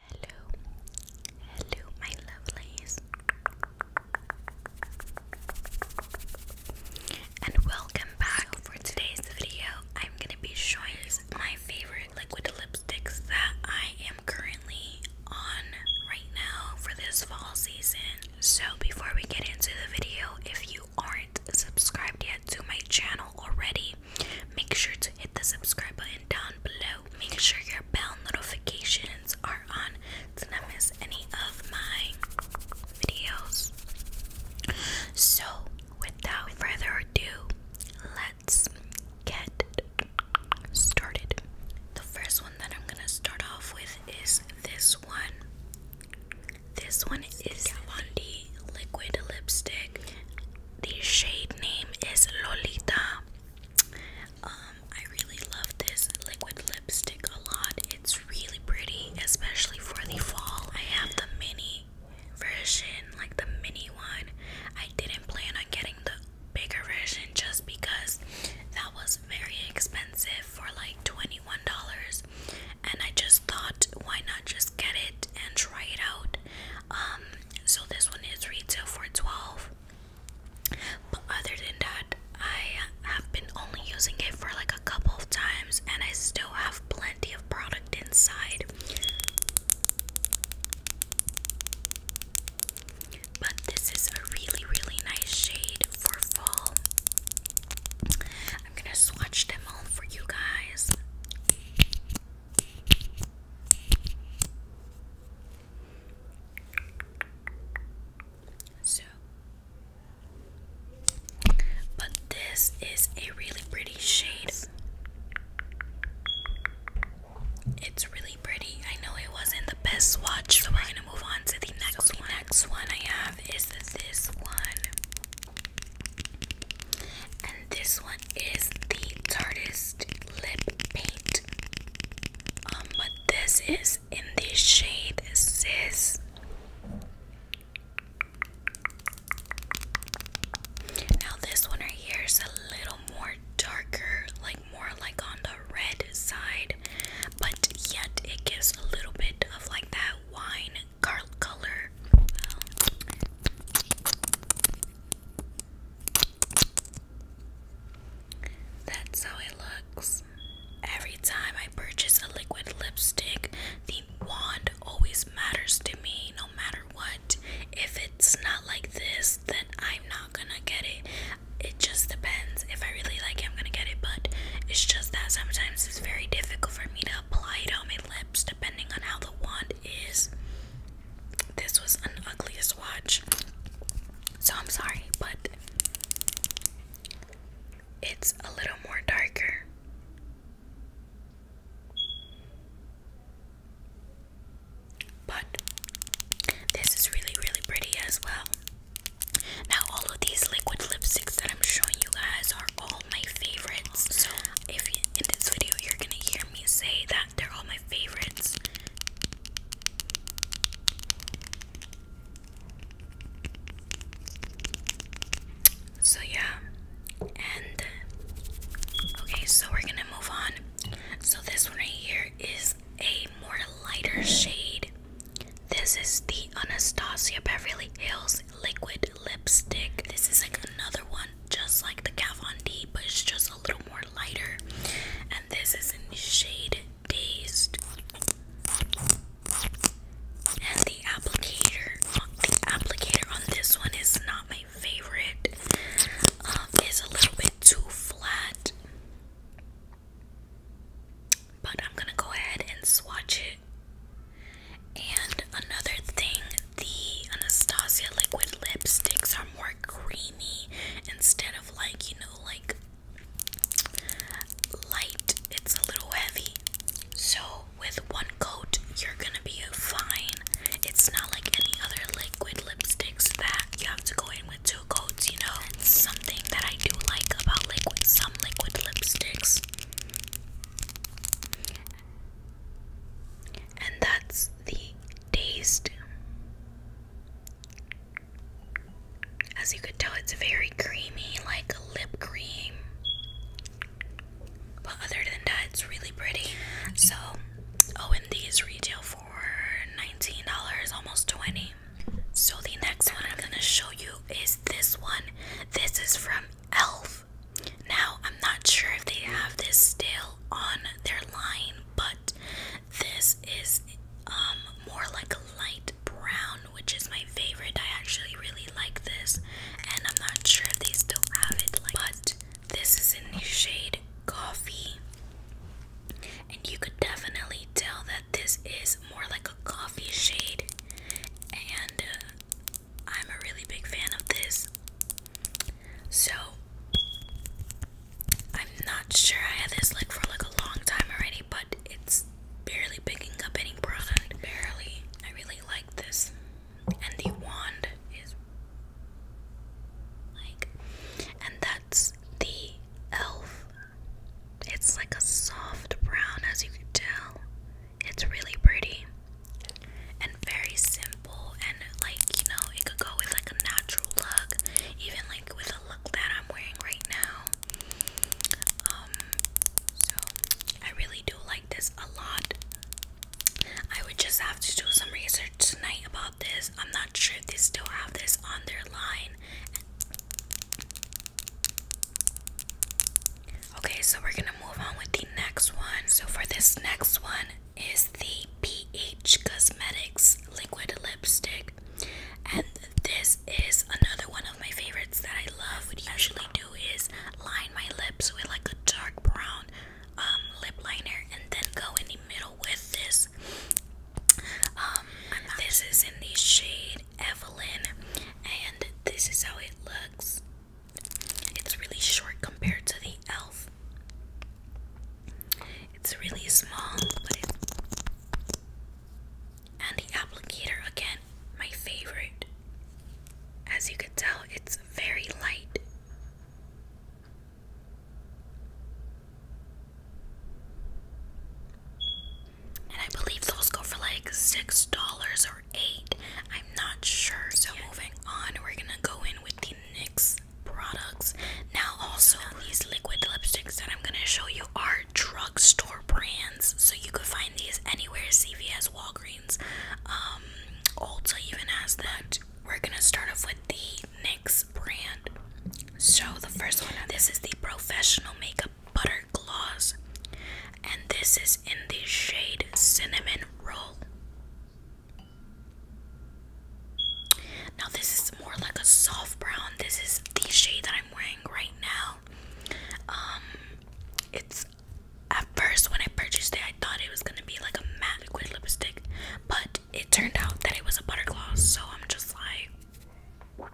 Hello, hello, my lovelies, and welcome back. for today's video, I'm gonna be showing my favorite liquid lipsticks that I am currently on right now for this fall season. So, before we get into the video, if you aren't subscribed yet to my channel already, make sure to hit the subscribe button down below make sure your bell notifications are on to not miss any of my videos. So, without further ado, let's get started. The first one that I'm gonna start off with is this one. This one is D Liquid Lipstick the shade name is Lolita. Um, I really love this liquid lipstick a lot. It's really pretty, especially for the fall. I have the mini version, like the mini one. I didn't plan on getting the bigger version just because that was very expensive for like $21. And I just thought, why not just get it and try it out? Um, so this one is retail for 12. But other than that, I have been only using it for like a couple of times and I still have plenty of product inside. But this is a really, really nice shade for fall. I'm gonna swatch them all for you guys. So, but this is a really pretty shade. It's really pretty. I know it wasn't the best swatch, so we're gonna move on to the next one. next one I have is this one. And this one is the Tartist Lip Paint. Um, this is in the shade Sis. Now this one right here is a little more darker, like more like on the red side, but yet it gives a little bit of like that wine color. that's how it looks. Every time I purchase a liquid lipstick, the wand always matters to me no matter what. If it's not like this, then I'm not gonna get it. It just depends. If I really like it, I'm gonna get it, but it's just that sometimes it's very difficult for me to apply it on my lips depending on how the wand is this was an ugliest watch. So I'm sorry, but it's a little more darker. But this is really, really pretty as well. Now, all of these liquid lipsticks I'm showing you guys are all my favorites. So if you, in this video you're gonna hear me say that they're all my favorites. So yeah, and okay, so we're gonna move on. So this one right here is a more lighter shade. This is the Anastasia Beverly Hills Liquid lipstick. This is like another one, just like the Kat D, but it's just a little more lighter. And this is in the shade Dazed. And the applicator, the applicator on this one is not my favorite. Um, it's a little bit too flat. But I'm gonna go ahead and swatch it. And another thing, the Anastasia liquid lipsticks are more creamy instead of like, you know, like light. It's a little heavy. So, with one coat, you're gonna be fine. It's not like any other liquid lipsticks that you have to go in with two coats, you know? It's something that I do like about liquid, some liquid lipsticks and that's the taste. As you could tell, it's very creamy, like lip cream. But other than that, it's really pretty. So, oh, and these retail for $19, almost 20 So, the next one I'm gonna show you is this one. This is from Elf. Now, I'm not sure if they have this still on their line, but this is um more like a light brown, which is my favorite. I actually really like this, and I'm not sure if they still have it. Like, but this is in the shade coffee, and you could definitely tell that this is more like a coffee shade, and uh, I'm a really big fan of this. So I'm not sure I had this like for like a long time already, but it's barely picking up any product. Barely. I really like this. And the wand is like and that's the elf. It's like a soft brown as you can tell. It's really pretty and very simple and like you know it could go with like a natural look, even like with a look that I'm wearing right now. Um, so I really do like this a lot. I would just have to do some research tonight about this. I'm not sure if they still have this on their line Okay, so we're gonna move on with the next one. So for this next one is the PH Cosmetics liquid lipstick. And this is another one of my favorites that I love. What I usually do is line my lips with like a dark brown um, lip liner and then go in the middle with this. Um, this is in the shade Evelyn, and this is how it looks. It's really short compared to the elf. It's really small, but it and the applicator again, my favorite. As you can tell, it's very light and I believe those go for like six dollars or eight. I'm not sure. So moving on, we're gonna go in with the NYX products. Now also these liquid lipsticks that I'm gonna show you are drugstore brands. So you could find these anywhere, CVS, Walgreens, um, Ulta even has that. We're gonna start off with the NYX brand. So the first one, this is the professional makeup butter gloss, and this is in the shade cinnamon roll. Now, this is more like a soft brown. This is the shade that I'm wearing right now. Um, it's at first when I purchased it, I thought it was gonna be like a matte liquid lipstick, but it turned out that it was a butter gloss, so I'm just like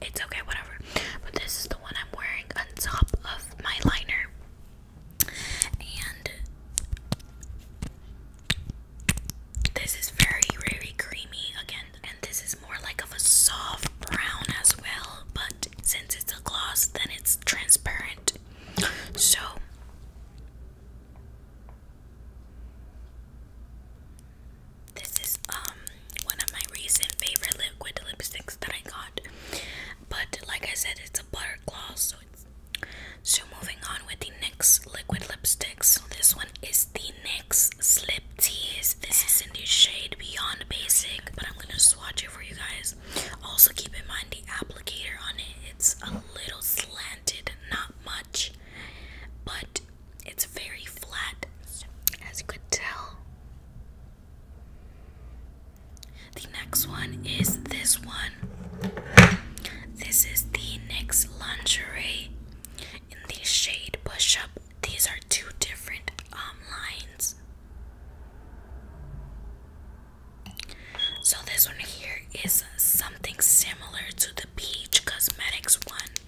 it's okay, whatever. But this is the one I'm wearing on top of my liner. And this is very, very creamy again. And this is more like of a soft brown as well. But since it's a gloss, then it's transparent. So. This is um one of my recent favorite liquid lipsticks that I got. But like I said, it's a butter gloss, so it's so moving on with the NYX liquid lipsticks. this one is the NYX Slip Tease. This is in the shade Beyond Basic, but I'm gonna swatch it for you guys. Also keep in mind the applicator on it. It's a little slanted, not much, but it's very flat, as you could tell. The next one is this one. This is the NYX Lingerie in the shade Push Up. These are two different um, lines. So, this one here is something similar to the Peach Cosmetics one.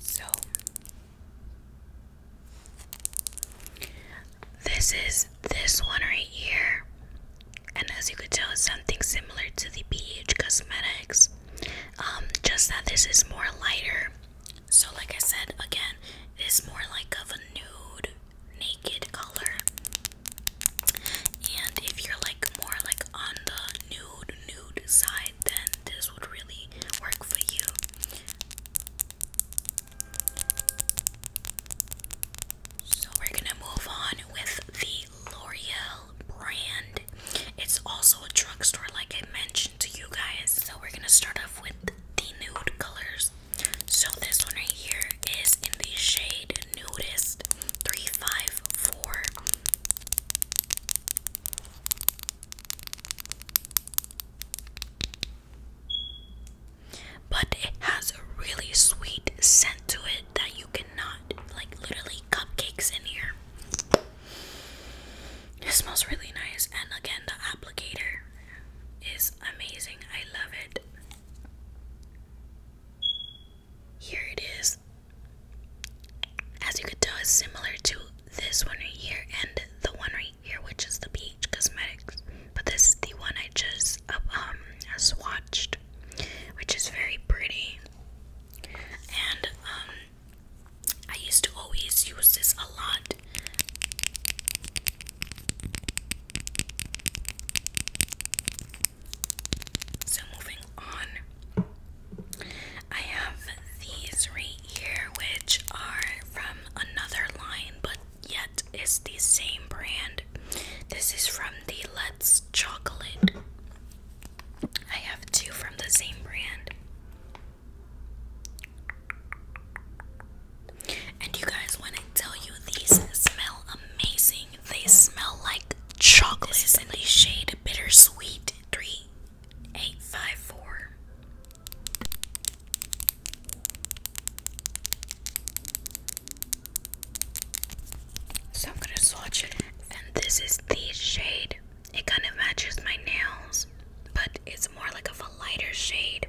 So, this is this one right here, and as you could tell, it's something similar to the BH Cosmetics, um, just that this is more lighter. So, like I said again, it's more like of a nude, naked color. And if you're like more like on the nude nude side, then this would really work for you. So we're gonna move on with the L'Oreal brand. It's also a drugstore, like I mentioned to you guys. So we're gonna start off with the nude colors. So this one right here is in the shade Naked 354. But it has a really sweet scent to it that you cannot, like, literally, cupcakes in here. It smells really nice, and again, the applicator is amazing. I love it. Here it is. As you could tell, it's similar to this one right here and the one right here, which is the Beach Cosmetics. But this is the one I just uh, um swatched, which is very pretty. And um, I used to always use this a lot. So moving on, I have these right here, which are from another line, but yet it's the same brand. This is from the Let's Chocolate. I have two from the same brand. And you guys, want to tell you these smell amazing, they smell like chocolate. This is in the shade Bittersweet 3854. So I'm gonna swatch it. And this is the shade. It kind of matches my nails, but it's more like of a lighter shade.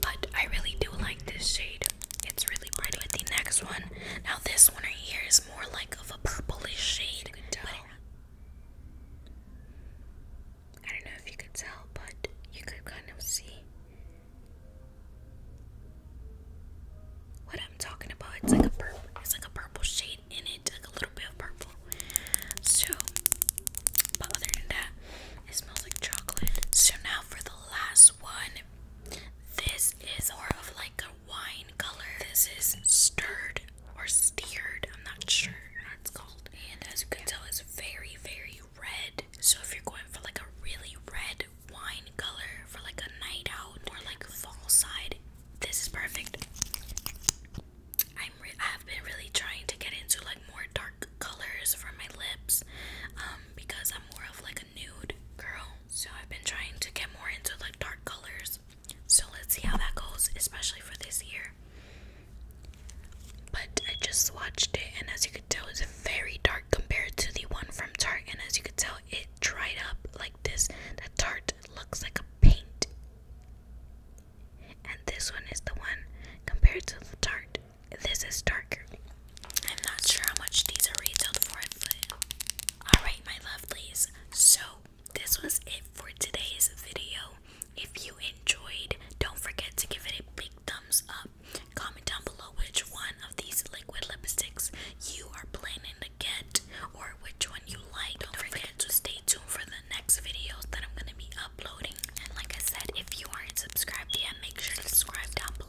But I really do like this shade. It's really bright. with the next one. Now this one right here is more like of a purplish shade. I don't know if you could tell, but you could kind of see what I'm talking about. It's like a purple. It's like a purple shade in it, like a little bit of purple. So, but other than that, it smells like chocolate. So now for the last this one. This is more of like a wine color. This is stirred or steered. I'm not sure how it's called. And as you can tell, it's very, very red. So if you're going for like a really red wine color for like a night out or like a fall side, this is perfect. I'm have been really trying to get into like more dark colors for my lips um, because I'm more of like a nude girl. So I've been trying to get more into like dark colors. So let's see how that goes, especially for this year. But I just swatched it, and as you can tell, it's very dark compared to the one from Tarte. And as you can tell, it dried up like this. The Tarte looks like a paint, and this one is the one compared to the Tarte this is darker. I'm not sure how much these are retailed for. Alright, my lovelies. So, this was it for today's video. If you enjoyed, don't forget to give it a big thumbs up. Comment down below which one of these liquid lipsticks you are planning to get or which one you like. Don't forget to stay tuned for the next videos that I'm going to be uploading. And like I said, if you aren't subscribed yet, make sure to subscribe down below.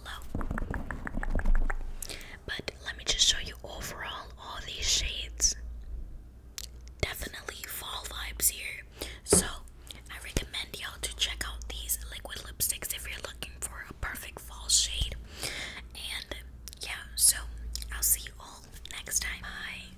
But let me just show you overall all these shades. Definitely fall vibes here. So I recommend y'all to check out these liquid lipsticks if you're looking for a perfect fall shade. And yeah, so I'll see you all next time. Bye.